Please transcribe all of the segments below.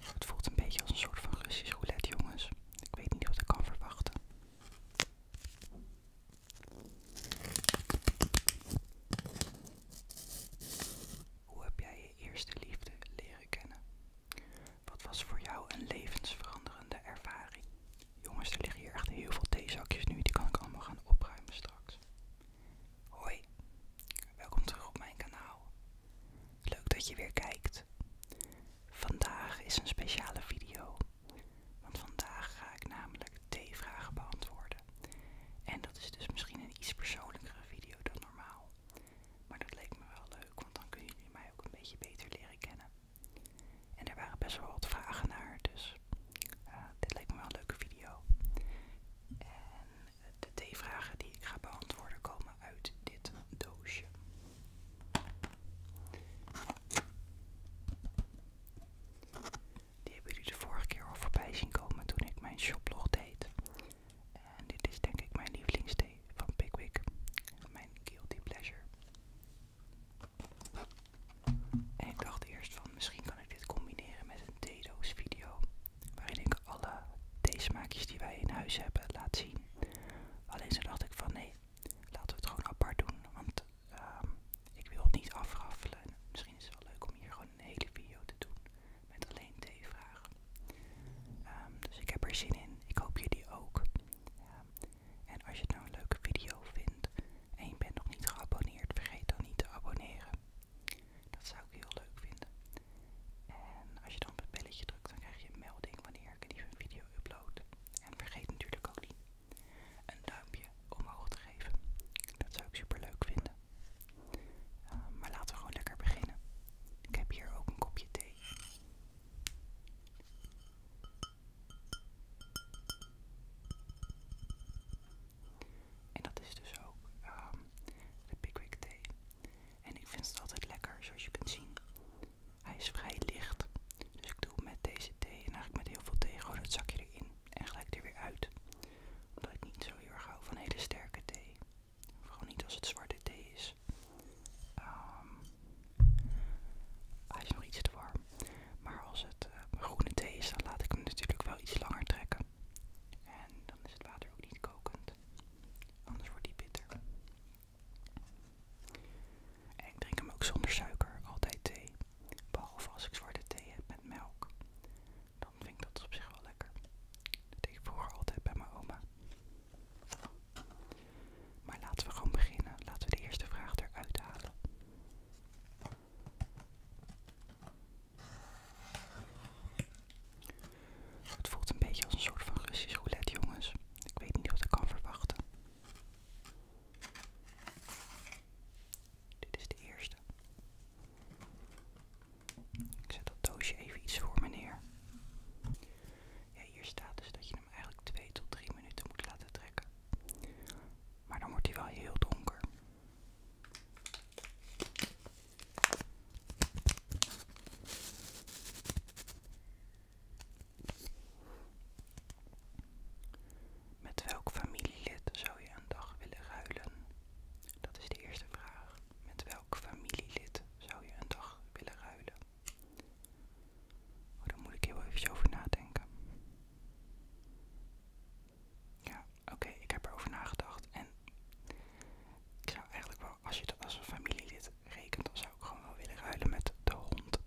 Het voelt een beetje als een soort van Russisch roulette, jongens. Ik weet niet wat ik kan verwachten. Hoe heb jij je eerste liefde leren kennen? Wat was voor jou een levensveranderende ervaring? Jongens, er liggen hier echt heel veel theezakjes nu. Die kan ik allemaal gaan opruimen straks. Hoi, welkom terug op mijn kanaal. Leuk dat je weer kijkt. Vandaag is een speciale video, want vandaag ga ik namelijk T-vragen beantwoorden. En dat is dus misschien een iets persoonlijkere video dan normaal. Maar dat leek me wel leuk, want dan kunnen jullie mij ook een beetje beter leren kennen. En er waren best wel wat vragen naar, dus eh, dit leek me wel een leuke video. En de thee vragen die ik ga beantwoorden komen uit dit doosje. Die hebben jullie de vorige keer al voorbij zien komen toen ik mijn shoplog deed. En dit is denk ik mijn lievelingsthee van Pickwick. Mijn guilty pleasure. En ik dacht eerst van misschien kan ik dit combineren met een doos video waarin ik alle theesmaakjes die wij in huis hebben laat zien. Alleen zo dacht ik van nee, laten we het gewoon apart doen, want ehm, ik wil het niet afraffelen. Misschien is het wel leuk om hier gewoon een hele video te doen met alleen deze vragen. Ehm, dus ik heb er zin in, ik hoop jullie ook. Ehm, en als je het nou een leuke video vindt en je bent nog niet geabonneerd, vergeet dan niet te abonneren. Dat zou ik heel leuk vinden. En als je dan op het belletje drukt, dan krijg je een melding wanneer ik een nieuwe video upload. En vergeet natuurlijk ook niet een duimpje omhoog te geven. Dat zou ik super leuk vinden. Ehm, maar laten we gewoon lekker beginnen. Ik heb hier ook een kopje thee. En dat is dus ook ehm, de Pickwick thee. En ik vind het altijd lekker, zoals je kunt zien. Hij is vrij licht. Dus ik doe met deze thee en eigenlijk met heel veel thee gewoon het zakje erin. En gelijk er weer uit. Omdat ik niet zo heel erg hou van hele sterke thee. Of gewoon niet als het zwarte thee is. Ehm, hij is nog iets te warm. Maar als het eh, groene thee is, dan laat ik hem natuurlijk wel iets langer trekken. En dan is het water ook niet kokend. Anders wordt die bitter. En ik drink hem ook zonder suiker, altijd thee. Behalve als ik zwarte thee heb met melk. Dan vind ik dat op zich wel lekker. Dat deed ik vroeger altijd bij mijn oma. Maar laten we gewoon beginnen. Laten we de eerste vraag eruit halen. Het voelt een beetje als een soort van Russisch roulette, jongens. Ik weet niet wat ik kan verwachten. Dit is de eerste. Ik zet dat doosje even iets voor me neer. hier staat dus dat je hem eigenlijk 2 tot 3 minuten moet laten trekken. Maar dan wordt hij wel heel donker. Met welk familielid zou je een dag willen ruilen? Dat is de eerste vraag. Met welk familielid zou je een dag willen ruilen? Oh, daar moet ik heel even over nadenken. Ja, oké, ik heb erover nagedacht. En ik zou eigenlijk wel, als je dat als een familielid rekent, dan zou ik gewoon wel willen ruilen met de hond.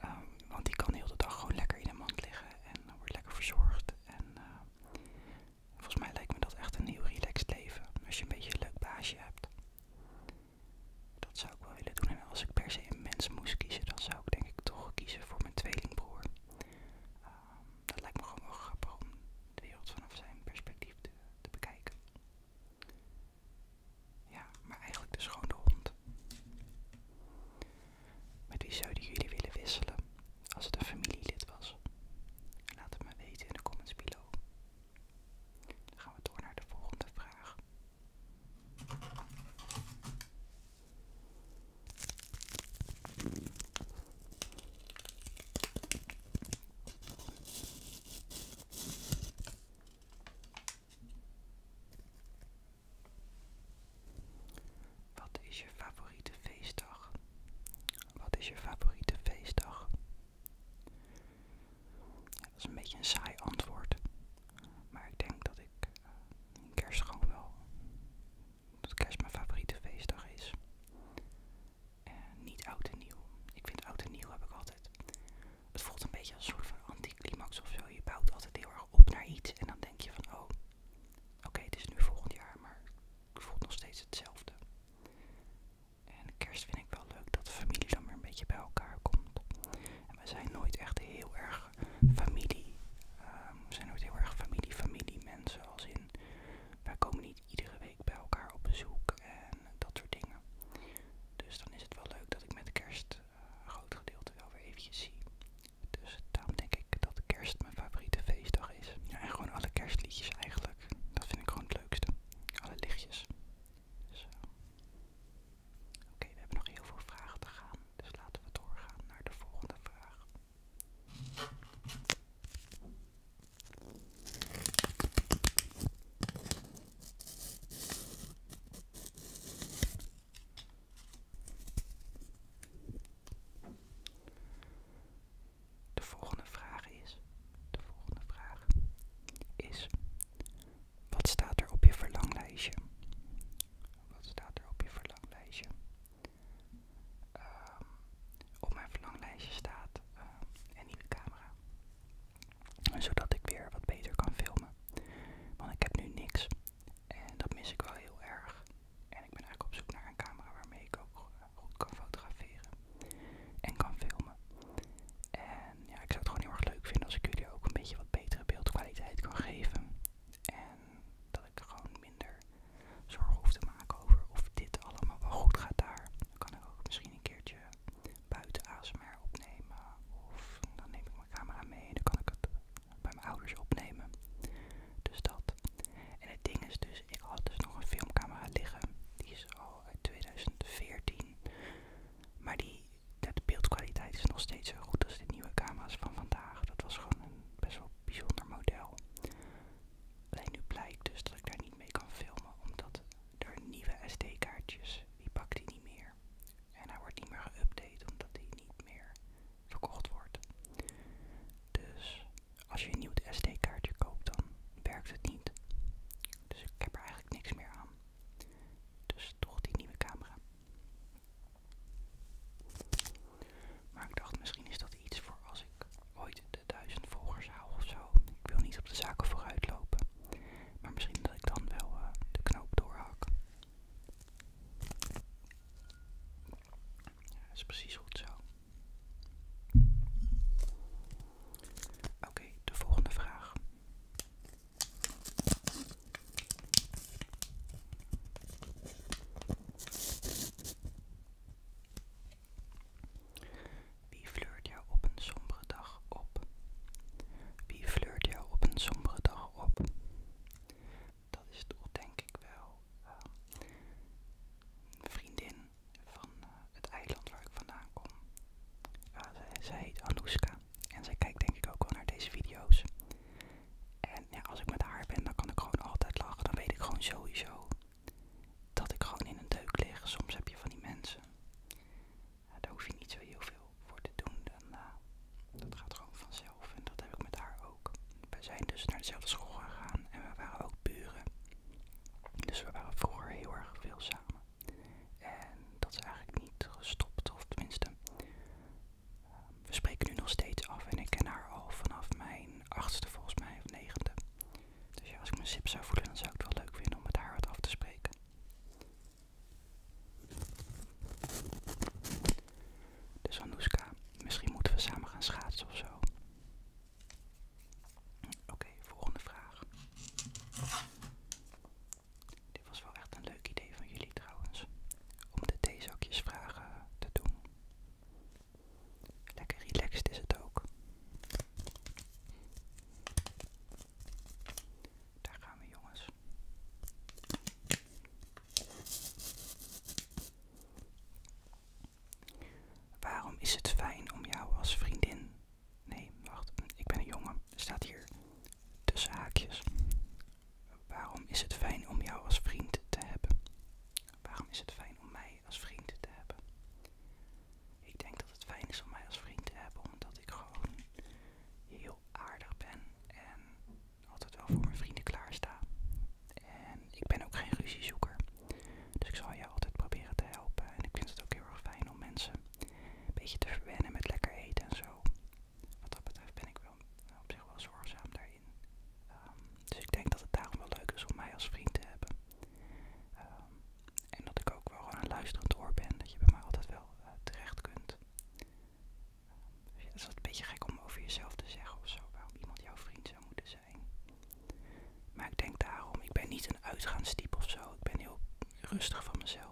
Ehm, want die kan heel de dag gewoon lekker in de mand liggen en wordt lekker verzorgd. En eh, volgens mij lijkt me dat echt een heel relaxed leven. Als je een beetje een leuk baasje hebt. Dat zou ik wel willen doen. En als ik per se een mens moest kiezen, dan zou ik denk ik toch kiezen voor mijn tweelingbroer. Ehm dat lijkt me gewoon wel grappig om de wereld vanaf zijn perspectief te, bekijken. Ja, maar eigenlijk dus gewoon de hond. Met wie zouden jullie willen wisselen als het een familielid was? Laat het me weten in de comments below. Dan gaan we door naar de volgende vraag. Wat is je favoriete feestdag? Wat is je favoriete feestdag? Dat is een beetje een saai antwoord. Maar ik denk dat ik eh, kerst gewoon wel dat kerst mijn favoriete feestdag is. En niet oud en nieuw. Ik vind oud en nieuw heb ik altijd. Het voelt een beetje als een soort van anticlimax of zo. Je bouwt altijd heel erg op naar iets en dan denk je van, oh, oké, het is nu volgend jaar, maar het voelt nog steeds hetzelfde. En kerst vind ik wel leuk dat familie dan weer een beetje bij elkaar komt. En we zijn nooit echt heel erg familie. Ehm, we zijn nooit heel erg familie, familie mensen. Als in, wij komen niet iedere week bij elkaar op bezoek en dat soort dingen. Dus dan is het wel leuk dat ik met kerst eh, een groot gedeelte wel weer eventjes zie. Dus daarom denk ik dat kerst mijn favoriete feestdag is. Ja, en gewoon alle kerstliedjes eigenlijk. Dat vind ik gewoon het leukste. Alle lichtjes. Dus, eh, oké, we hebben nog heel veel vragen te gaan. Dus laten we doorgaan naar de volgende vraag. De volgende vraag is, de volgende vraag is, wat staat er op je verlanglijstje? Wat staat er op je verlanglijstje? Ehm, op mijn verlanglijstje staat ehm, een nieuwe camera. Zodat ik weer wat beter kan filmen. Want ik heb nu niks. En dat mis ik wel heel erg. En ik ben eigenlijk op zoek naar een camera waarmee ik ook eh, goed kan fotograferen. En kan filmen. En ja, ik zou het gewoon heel erg leuk vinden als ik jullie ook een beetje wat betere beeldkwaliteit kan geven. En ik gewoon minder zorgen hoef te maken over of dit allemaal wel goed gaat daar. Dan kan ik ook misschien een keertje buiten ASMR opnemen. Of dan neem ik mijn camera mee en dan kan ik het bij mijn ouders opnemen. Dus dat. En het ding is dus, ik had dus nog een filmcamera liggen. Die is al uit 2014. Maar die, de beeldkwaliteit is nog steeds zo goed als de nieuwe camera's van vandaag. Dat was gewoon een best wel bijzonder model. Alleen nu blijkt dus dat ik daar niet mee kan filmen, omdat er nieuwe SD-kaartjes, die pakt hij niet meer. En hij wordt niet meer geüpdate, omdat hij niet meer verkocht wordt. Dus als je een nieuw SD-kaartje koopt, dan werkt het niet. Dus ik heb er eigenlijk niks meer aan. Dus toch die nieuwe camera. Maar ik dacht, misschien is dat iets voor als ik ooit de duizend volgers haal of zo. Ik wil niet op de zaken vooruit lopen. Maar misschien dat ik dan wel eh, de knoop doorhak. Ja, is precies goed zo. Oké, de volgende vraag. Wie fleurt jou op een sombere dag op? Wie fleurt jou op een sombere dag op? Dat is het, denk ik wel ehm, vriendin van eh, het eiland waar ik vandaan kom. zij, heet Anouska en zij kijkt denk ik ook wel naar deze video's. En ja, als ik met haar ben, dan kan ik gewoon altijd lachen. Dan weet ik gewoon sowieso dat ik gewoon in een deuk lig. Soms heb je van die mensen. daar hoef je niet zo heel veel voor te doen. Dan, eh, dat gaat gewoon vanzelf. En dat heb ik met haar ook. We zijn dus naar dezelfde school gegaan. En we waren ook buren. Dus we waren vroeger heel erg veel samen. En dat is eigenlijk niet gestopt. Of tenminste, ehm, we spreken nu nog steeds af. En ik ken haar al vanaf mijn achtste volgens mij, of negende. Dus ja, als ik mijn sip zou voelen, dan zou ik het wel leuk vinden om met haar wat af te spreken. Dus Anouska, misschien moeten we samen gaan schaatsen of zo. Oké, volgende vraag. Dit was wel echt een leuk idee van jullie trouwens. Om de vragen te doen. Lekker relaxed is het ook. Daar gaan we jongens. Waarom is het fijn om jou als vriendin... Nee, wacht, ik ben een jongen. Staat hier tussen haakjes. Waarom is het fijn om jou als vriend te hebben? Waarom is het fijn om mij als vriend te hebben. Ik denk dat het fijn is om mij als vriend te hebben, omdat ik gewoon heel aardig ben en altijd wel voor mijn vrienden klaarsta. En ik ben ook geen ruziezoeker, dus ik zal jou altijd proberen te helpen. En ik vind het ook heel erg fijn om mensen een beetje te verwennen met lekker eten en zo. Wat dat betreft ben ik wel op zich wel zorgzaam daarin. Ehm, dus ik denk dat het daarom wel leuk is om mij als vriend te hebben. Ehm, en dat ik ook wel gewoon een luisterend oor ben, dat je bij mij altijd wel eh, terecht kunt. Ehm, het is wat beetje gek om over jezelf te zeggen of zo, waarom iemand jouw vriend zou moeten zijn. Maar ik denk daarom, ik ben niet een uitgaanstype of zo, ik ben heel rustig van mezelf.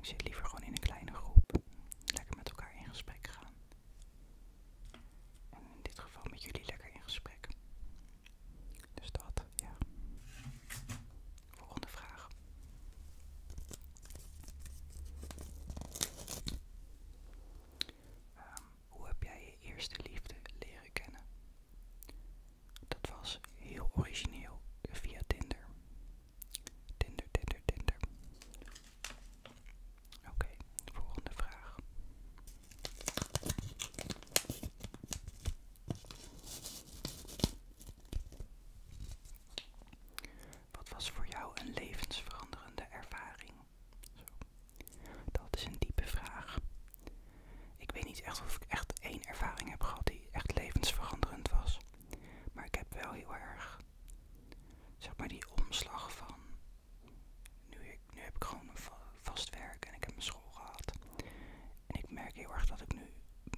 ik zit liever gewoon in een kleine groep, lekker met elkaar in gesprek gaan. En in dit geval met jullie lekker in gesprek. Dus dat, ja. Volgende vraag. Ehm, hoe heb jij je eerste liefde leren kennen? Dat was heel origineel via Tinder. Tinder, Tinder, Tinder. Oké, de volgende vraag. Wat was voor jou een levensveranderende ervaring? Dat is een diepe vraag. Ik weet niet echt of ik echt één ervaring heb gehad die echt levensveranderend was. Maar ik heb wel heel erg, zeg maar, die omslag van nu, heb ik gewoon een vast werk en ik heb mijn school gehad. En ik merk heel erg dat ik nu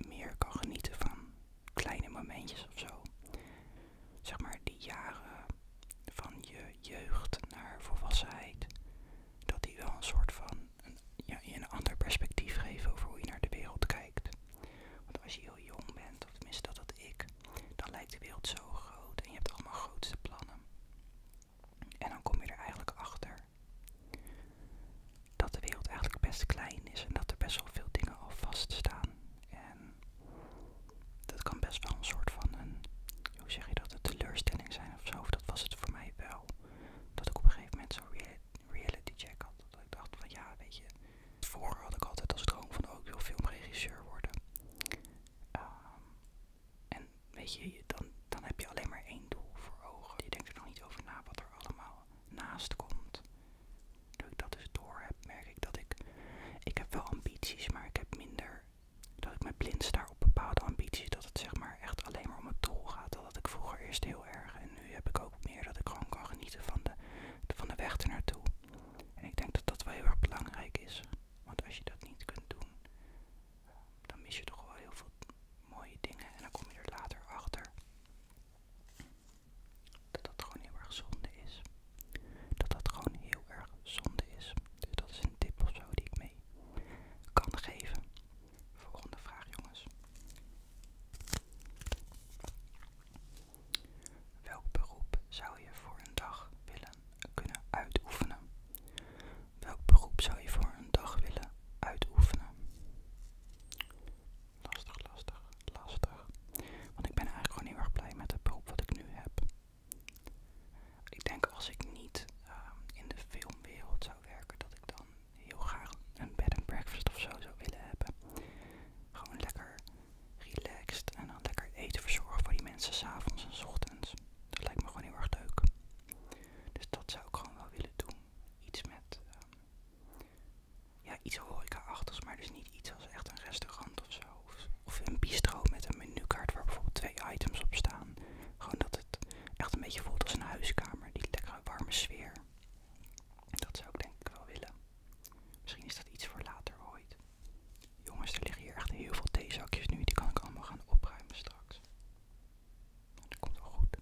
meer kan genieten van kleine momentjes of zo. Zeg maar die jaren van je jeugd naar volwassenheid. Dat die wel een soort van een, ja, je een ander perspectief geven over hoe je naar de wereld kijkt. Want als je heel jong bent, of tenminste dat ik, dan lijkt de wereld zo groot en je hebt allemaal grootste plannen. En dan kom je er eigenlijk achter dat de wereld eigenlijk best klein is en dat er best wel veel dingen al vaststaan. En dat kan best wel een soort van een, hoe zeg je dat, een teleurstelling zijn of zo. dat was het voor mij wel. Dat ik op een gegeven moment zo'n reality check had. Dat ik dacht van ja, weet je, vroeger had ik altijd als droom van ook oh, ik wil filmregisseur worden. Ehm, en weet je, dan, dan heb je alleen maar één doel voor ogen. Je denkt er nog niet over na wat er allemaal naast komt. Doe ik dat dus door heb, merk ik dat ik. Ik heb wel ambities, maar ik heb minder. Dat ik me blind sta op bepaalde ambities. Dat het zeg maar echt alleen maar om het doel gaat. Dat had ik vroeger eerst heel erg. En nu heb ik ook meer dat ik gewoon kan genieten van de, van de weg ernaartoe. En ik denk dat dat wel heel erg belangrijk is. Want als je dat niet kunt doen, dan mis je toch wel heel veel mooie dingen. En dan kom je er later achter dat dat gewoon heel erg zonde is. Dat dat gewoon heel erg zonde is. Dus dat is een tip of zo die ik mee kan geven. Volgende vraag, jongens. Welk beroep zou je voor een dag willen kunnen uitoefenen. Welk beroep zou je voor een dag willen uitoefenen? Lastig, lastig, lastig. Want ik ben eigenlijk gewoon heel erg blij met het beroep wat ik nu heb. Ik denk als ik niet ehm, in de filmwereld zou werken, dat ik dan heel graag een bed and breakfast of zo zou willen hebben. Gewoon lekker relaxed en dan lekker eten verzorgen voor die mensen s'avonds en s ochtends. Dat lijkt me gewoon heel erg leuk. Dus dat zou ik gewoon wel willen doen. Iets met, ehm, ja, iets horeca-achtigs, maar dus niet iets als echt een restaurant of zo. Of, of een bistro met een menukaart waar bijvoorbeeld twee items op staan. Gewoon dat het echt een beetje voelt als een huiskamer, die lekkere warme sfeer. Dat zou ik denk ik wel willen. Misschien is dat iets voor later ooit. Jongens, er liggen hier echt heel veel theezakjes nu. Die kan ik allemaal gaan opruimen straks. Nou, dat komt wel goed.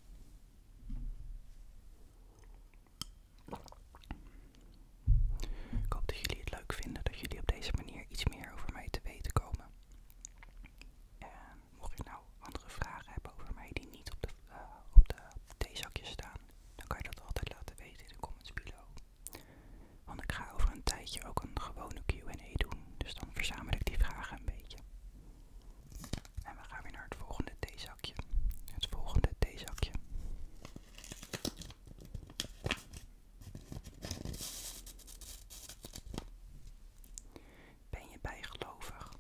Ik hoop dat jullie het leuk vinden dat jullie op deze manier iets meer over mij te weten komen. En mocht je nou andere vragen hebben over mij die niet op de, eh, op de theezakjes staan, dan kan je dat altijd laten weten in de comments below. Want ik ga over een tijdje ook een gewone QA doen. Dus dan verzamel ik die vragen een beetje. En we gaan weer naar het volgende theezakje. Het volgende theezakje. Ben je bijgelovig?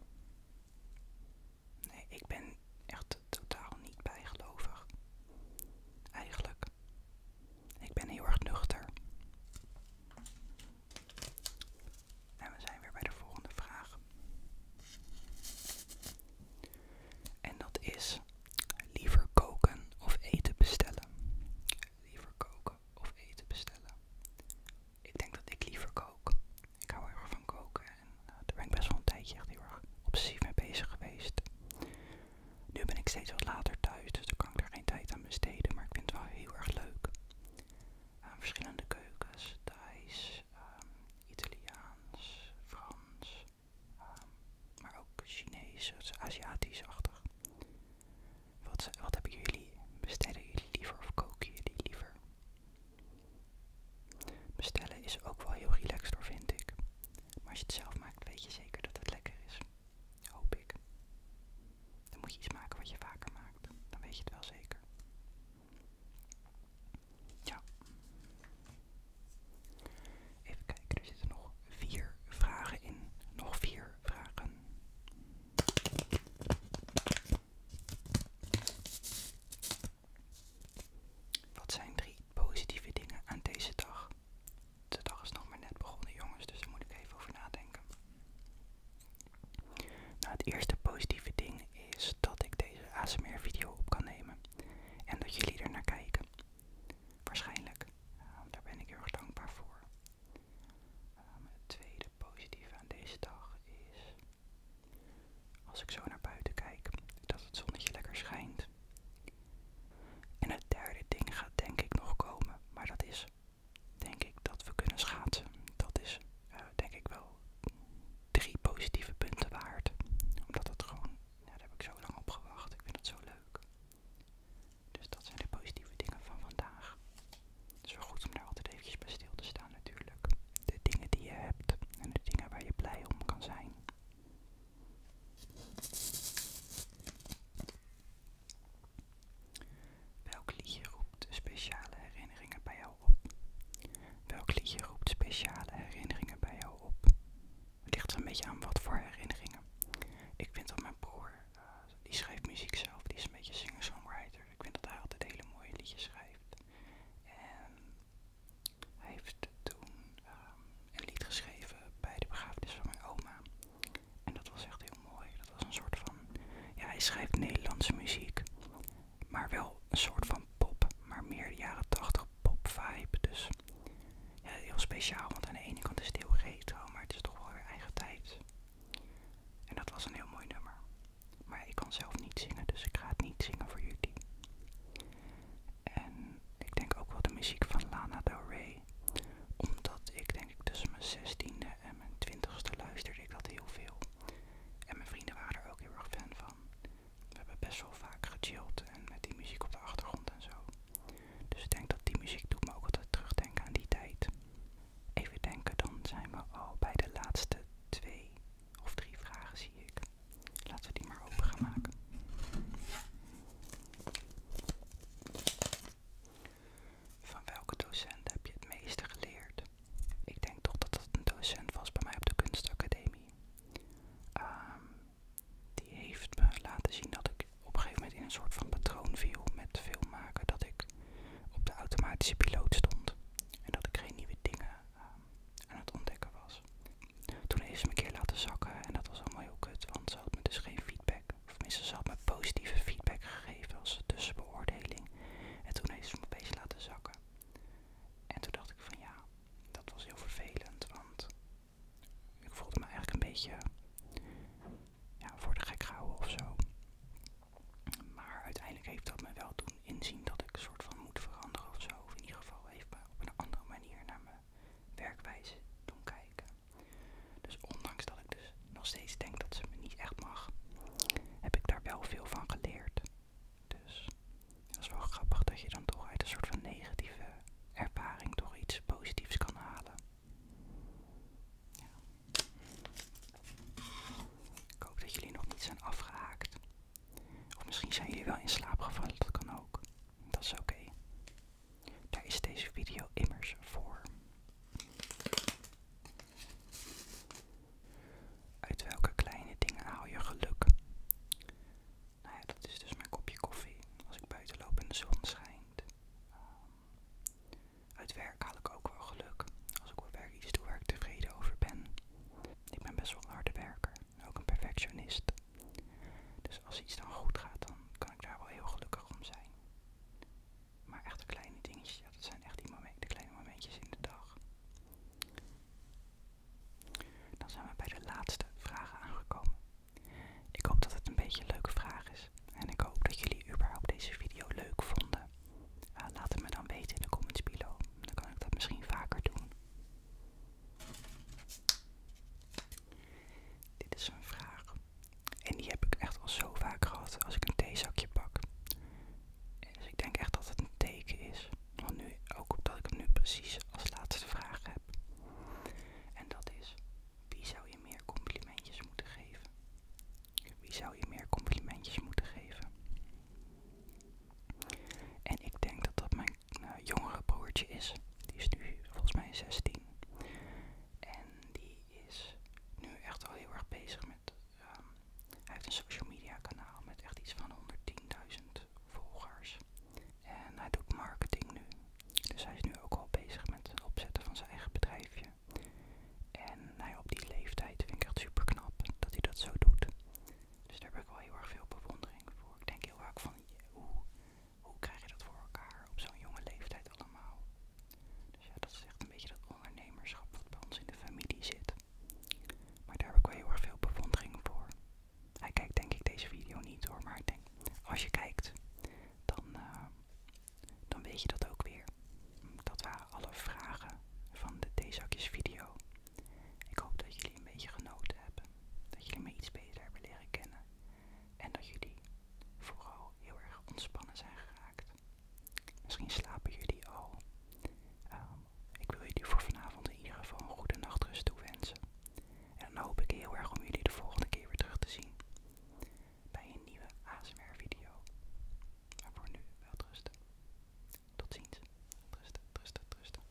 Nee, ik ben echt totaal niet bijgelovig. Eigenlijk. Ik ben heel erg nuchter. En we zijn weer bij de volgende vraag. En dat is liever koken of eten bestellen. Liever koken of eten bestellen. Ik denk dat ik liever kook. Ik hou heel erg van koken en eh, daar ben ik best wel een tijdje echt heel erg obsessief mee bezig geweest. Nu ben ik steeds wat later thuis, dus dan kan ik daar geen tijd aan besteden, maar ik vind het wel heel erg leuk. aan verschillende keukens, Thais, ehm, Italiaans, Frans, ehm, maar ook Chinees, als Aziatisch-achtig. Wat, wat hebben jullie, bestellen jullie liever of koken jullie liever? Bestellen is ook wel heel relaxed door vind ik. Maar als je het zelf maakt, weet je zeker dat het lekker is. Hoop ik. Dan moet je iets maken wat je vaker maakt. Dan weet je het wel zeker. Ja. Even kijken, er zitten nog vier vragen in. Nog vier vragen. Wat zijn drie positieve dingen aan deze dag? de dag is nog maar net begonnen jongens, dus daar moet ik even over nadenken. Nou, het eerste positieve ding is dat ik deze ASMR video op kan nemen. En dat jullie er naar kijken. Waarschijnlijk. Ehm, daar ben ik heel erg dankbaar voor. Ehm, het tweede positieve aan deze dag is. Als ik zo naar buiten kijk, dat het zonnetje lekker schijnt. En het derde ding gaat denk ik nog komen, maar dat is denk ik dat we kunnen schaatsen. Dat is eh, denk ik wel drie positieve punten waard, omdat dat gewoon, nou, daar heb ik zo lang op gewacht, ik vind het zo leuk. Dus dat zijn de positieve dingen van vandaag. Het is wel goed om daar altijd eventjes bij stil te staan natuurlijk. De dingen die je hebt en de dingen waar je blij om kan zijn. Welk liedje roept speciale herinneringen bij jou op? Welk liedje roept speciale herinneringen bij jou op? Het ligt er een beetje aan wat voor herinneringen. Ik vind dat mijn broer, eh, die schrijft muziek zelf, die is een beetje singer-songwriter. Ik vind dat hij altijd hele mooie liedjes schrijft. En hij heeft toen ehm, een lied geschreven bij de begrafenis van mijn oma. En dat was echt heel mooi. Dat was een soort van. Ja, hij schrijft Nederlandse muziek. Maar wel een soort van pop. Maar meer de jaren 80 pop vibe. Dus heel speciaal. Want aan de ene kant is het heel retro, maar het is toch wel weer eigen tijd. En dat was een heel mooi nummer. Maar ik kan zelf niet zingen, dus ik ga het niet zingen voor jullie. En ik denk ook wel de muziek van Lana Del Rey. Omdat ik denk ik tussen mijn 16e en mijn twintigste luisterde ik dat heel veel. En mijn vrienden waren er ook heel erg fan van. We hebben best wel vaak gechilled en met die muziek op de achtergrond en zo. Dus ik denk dat die muziek doet me ook altijd terugdenken aan die tijd. Even denken, dan zijn we al bij de laatste twee of drie vragen zie ik. Laten we die maar open gaan maken. Van welke docent heb je het meeste geleerd? Ik denk toch dat het een docent was bij mij op de kunstacademie. Ehm, die heeft me laten zien dat ik op een gegeven moment in een soort van patroon viel met film maken, Dat ik op de automatische piloot stond. En dat ik geen nieuwe dingen ehm, aan het ontdekken was. Toen heeft ze me een keer laten zakken en dat was allemaal heel kut, want ze had me dus geen feedback. Of tenminste, ze had me positieve feedback gegeven als tussenbeoordeling. En toen heeft ze me een beetje laten zakken. En toen dacht ik van ja, dat was heel vervelend, want ik voelde me eigenlijk een beetje voor de gek gehouden of zo. Maar uiteindelijk heeft dat me wel doen inzien dat ik soort van moet veranderen of zo. Of in ieder geval heeft me op een andere manier naar me werkwijze doen kijken. Dus ondanks dat ik dus nog steeds denk dat ze me niet echt mag, heb ik daar wel veel van geleerd. Dus dat is wel grappig dat je dan toch uit een soort van negatieve ervaring toch iets positiefs kan halen. Ik hoop dat jullie nog niet zijn afgehaakt. Of misschien zijn jullie wel in slaap gevallen, dat kan ook. Dat is oké. Daar is deze video immers voor. Uit welke kleine dingen haal je geluk? Nou ja, dat is dus mijn kopje koffie als ik buiten loop en de zon schijnt. Ehm, uit werk haal ik ook wel geluk. Als ik op werk iets doe waar ik tevreden over ben. Ik ben best wel een harde werker ook een perfectionist. Dus als iets dan goed gaat, dan kan ik daar wel heel gelukkig om zijn. Maar echt de kleine dingetjes, dat zijn echt die momenten, de kleine momentjes in de dag. Dan zijn we bij de laatste vragen aangekomen. Ik hoop dat het een beetje een leuke vraag is. En ik hoop dat jullie überhaupt deze video leuk vonden. Eh, laat het me dan weten in de comments below. Dan kan ik dat misschien vaker doen. Dit is een vraag. En die heb ik echt al zo vaak gehad als ik een theezakje pak. Dus ik denk echt dat het een teken is. Want nu, ook omdat ik het nu precies als laatste vraag heb. En dat is, wie zou je meer complimentjes moeten geven? Wie zou je meer complimentjes moeten geven? En ik denk dat dat mijn eh, jongere broertje is. Die is nu volgens mij 16. En die is nu echt al heel erg bezig met. Ehm, hij heeft een social media kanaal met echt iets van 110.000 volgers. En hij doet marketing nu. Dus hij is nu ook al bezig met het opzetten van zijn eigen bedrijfje. En hij op die leeftijd vind ik echt super knap dat hij dat zo doet. Dus daar heb ik wel heel erg veel bewondering voor. Ik denk heel vaak van hoe hoe krijg je dat voor elkaar op zo'n jonge leeftijd allemaal? Dus ja, dat is echt een beetje dat ondernemerschap wat bij ons in de familie zit. Maar daar heb ik wel heel erg veel bewondering voor. Hij kijkt denk ik deze video niet hoor, maar ik denk, als je kijkt, dan, eh, dan weet je dat ook weer. Dat waren alle vragen van de deze Theezakjes video. Ik hoop dat jullie een beetje genoten hebben dat jullie me iets beter hebben leren kennen en dat jullie vooral heel erg ontspannen zijn geraakt. Misschien slapen jullie al. Ehm, ik wil jullie voor vanavond in ieder geval een goede nachtrust toewensen. En dan hoop ik heel erg om jullie de volgende keer weer terug te zien bij een nieuwe ASMR video. Maar voor nu wel rusten. Tot ziens. Rusten, rusten, rusten.